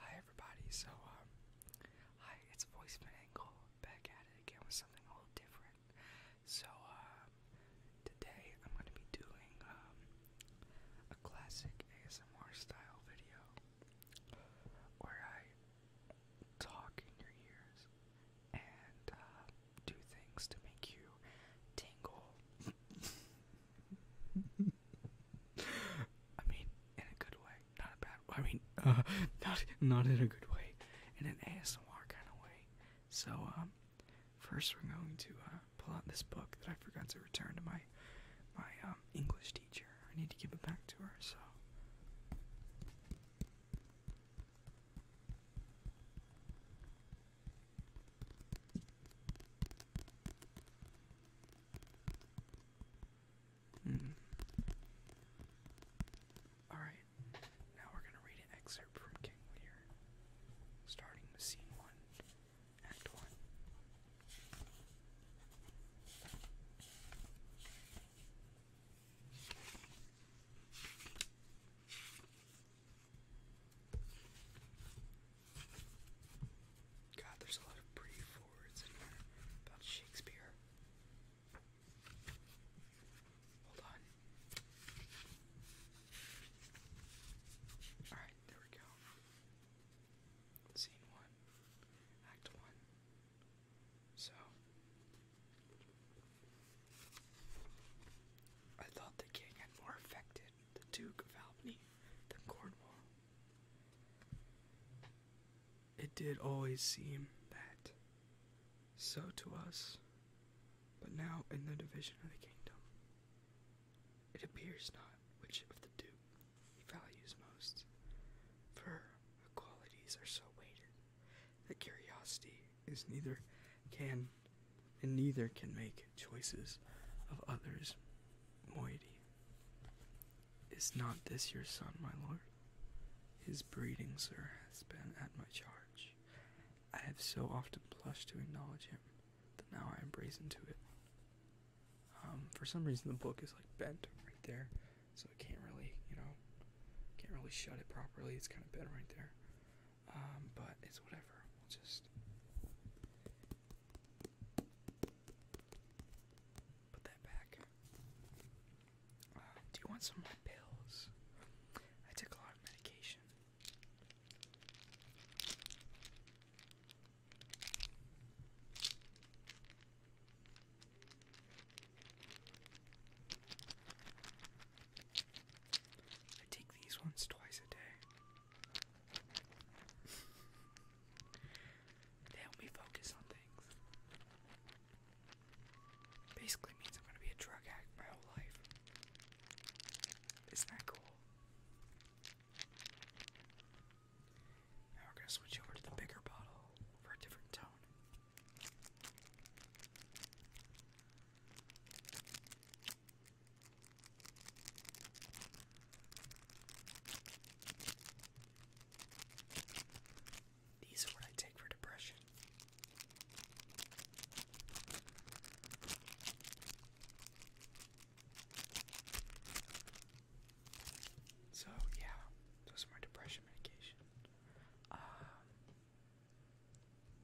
Hi everybody, so um, hi, it's Voice Angle back at it again with something a little different. So um, today I'm gonna be doing um, a classic ASMR style video where I talk in your ears and uh, do things to make you tingle. I mean, in a good way, not a bad. I mean, uh, not not in a good way, in an ASMR kind of way. So, um, first we're going to uh, pull out this book that I forgot to return to my my um, English teacher. I need to give it back to her. So. Mm. Alright, now we're going to read an excerpt from King Lear, starting with Scene 1, Act 1. God, there's a lot of pretty forwards in here about Shakespeare. Hold on. Alright, there we go. Scene one, act one. So, I thought the king had more affected the Duke of Albany than Cornwall, it did always seem that so to us, but now in the division of the kingdom, it appears not which of the two he values most, for the qualities are so weighted that curiosity is neither can and neither can make choices of others, moiety. Is not this your son, my lord? His breeding, sir, has been at my charge. I have so often blushed to acknowledge him that now I am brazen to it. Um, for some reason, the book is like bent right there, so I can't really, you know, can't really shut it properly. It's kind of bent right there. Um, but it's whatever. We'll just Put that back. Uh, do you want some of my pills? I took a lot of medication. I take these once, twice a day they help me focus on things. Basically means I'm gonna be a drug addict my whole life. Isn't that cool? Now we're gonna switch over to the bigger bottle for a different tone. These are what I take for depression. So, yeah, those are my depression medication. Um,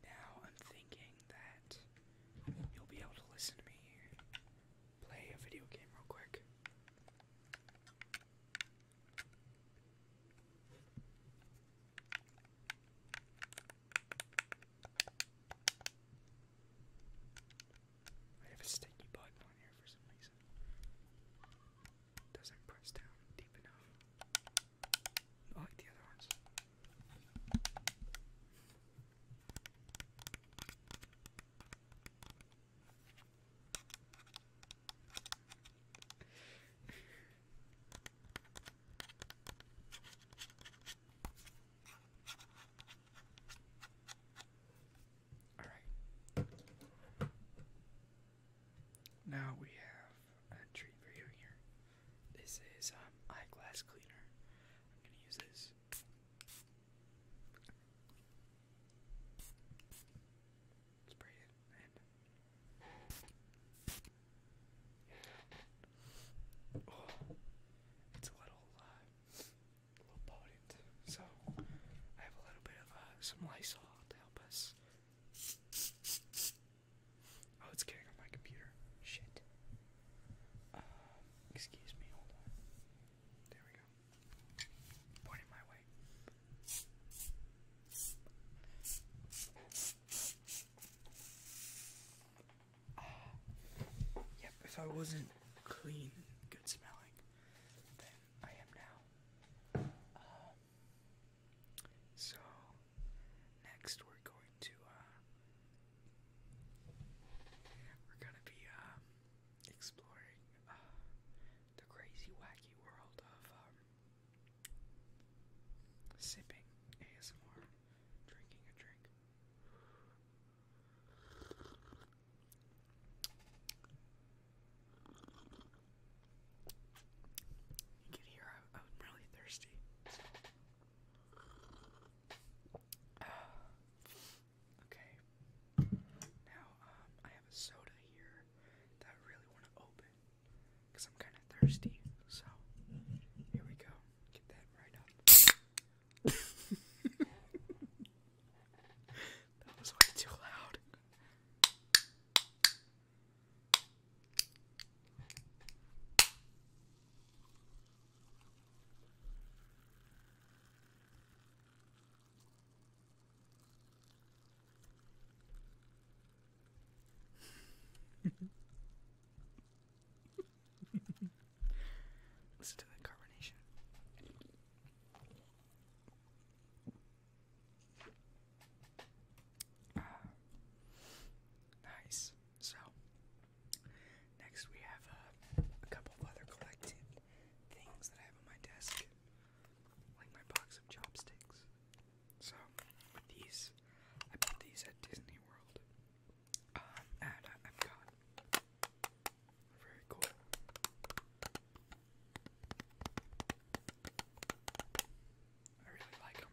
now I'm thinking that you'll be able to listen to me play a video game real quick. I have a sticky button on here for some reason. Doesn't press down deep enough. I like the other ones. All right. Now we have a treat for you here. This is um glass cleaner. I'm gonna use this Spray it and it's a little, a uh, little potent. So I have a little bit of uh, some Lysol to help us. Oh, it's getting on my computer. Shit. excuse me, hold on. There we go. Pointing my way. Yep, if I wasn't clean and good smelling, then I am now. Um, so, next we're going to uh, we're gonna be um, exploring uh, the crazy, wacky world of um, sipping ASMR, drinking a drink. You can hear I'm, really thirsty. okay. Now, um, I have a soda here that I really want to open because I'm kind of thirsty. So, here we go. Get that right up. that was way too loud. Listen to that carbonation. Ah. Nice. So, Next, we have uh, a couple other collected things that I have on my desk, like my box of chopsticks. So, these, I bought these at Disney World. Uh, and I, I'm Very cool. I really like them.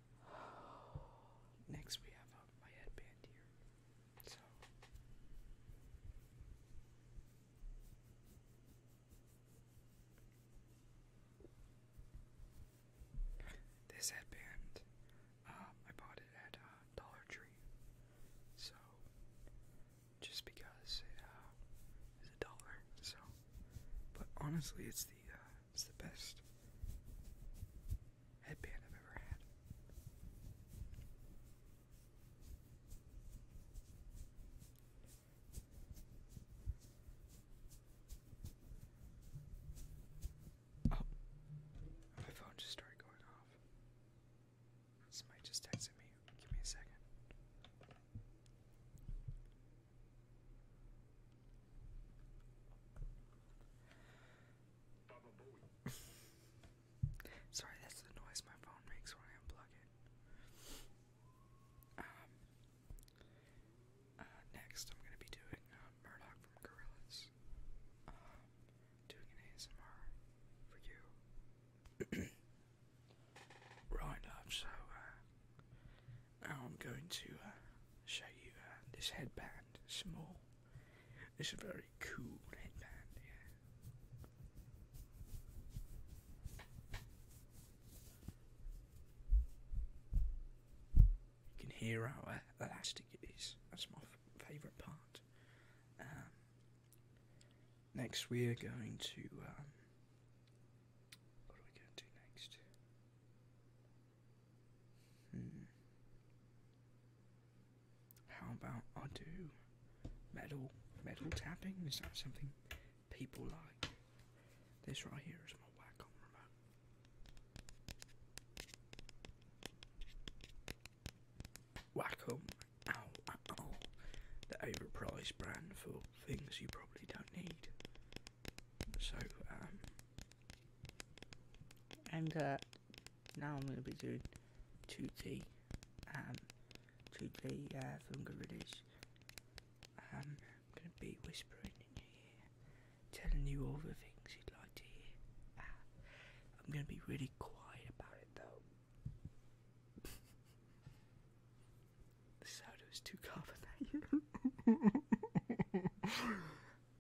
Next, we have um, my headband here. So. This headband, um, I bought it at uh, Dollar Tree. So, just because it uh, a dollar, so. But honestly, it's the uh, it's the best headband I've ever had. Oh, my phone just started going off. Somebody just texted me. Give me a second. Sorry, that's the noise my phone makes when I unplug it. Um, uh, next, I'm going to be doing uh, Murdoch from Gorillas. Um, doing an ASMR for you. right, love, so uh, now I'm going to uh, show you uh, this headband. Small. This is a very cool headband. You can hear how uh, elastic it is. That's my favourite part. Um, next, we are going to. Um, what are we going to do next? Hmm. How about I do metal metal tapping? Is that something people like? This right here is my Wacom remote. Wacom, ow, ow, the overpriced brand for things you probably don't need. So, um, and uh, now I'm going to be doing 2D, um, 2D uh, film gorillas. Um, I'm going to be whispering in your ear, telling you all the things you'd like to hear. Ah, I'm going to be really quiet about it though. The sound was too carbon that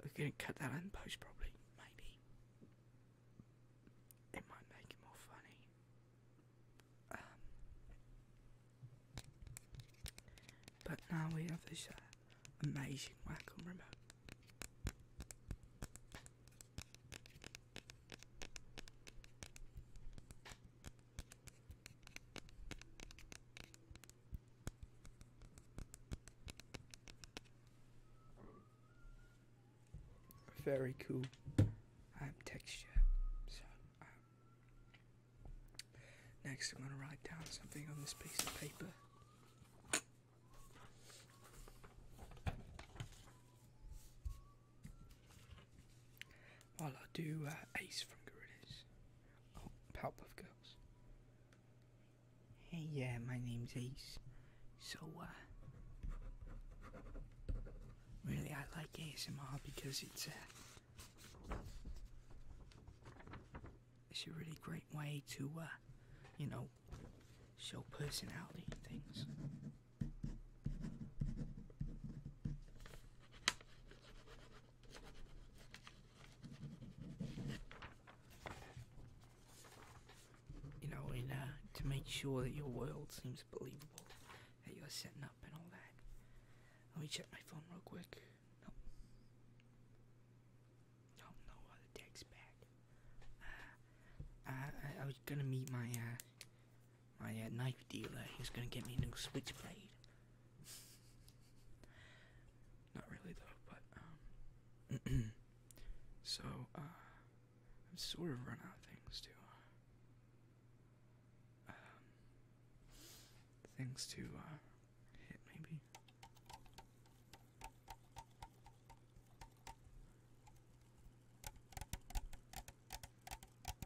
We're gonna cut that end post probably, maybe. It might make it more funny. Um, but now we have this uh, amazing wacom remote. Very cool. Um, texture. So, um, next I'm going to write down something on this piece of paper. While I do uh, Ace from Gorillas. Oh, Powerpuff Girls. Hey, yeah, my name's Ace. So, uh, really, I like ASMR because it's a, uh, it's a really great way to, uh, you know, show personality and things. You know, and uh, to make sure that your world seems believable, that you're setting up and all that. Let me check my phone real quick. Nope. oh, no other text back. Uh, I, was gonna meet my uh, my knife dealer. He was gonna get me a new switchblade. Not really though, but um so uh i am sort of run out of things to uh, um things to uh hit maybe. There we go.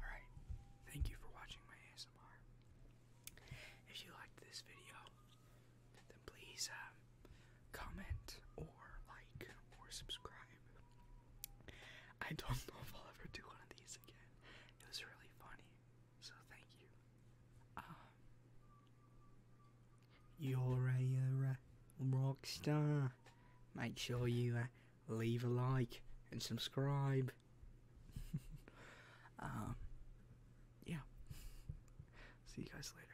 Alright, thank you for watching my ASMR. If you liked this video, then please um, comment or like or subscribe. I don't know if I'll ever do one of these again. It was really funny, so thank you. Um, you're uh, a, rock star. Make sure you uh, leave a like and subscribe. Um, yeah. See you guys later.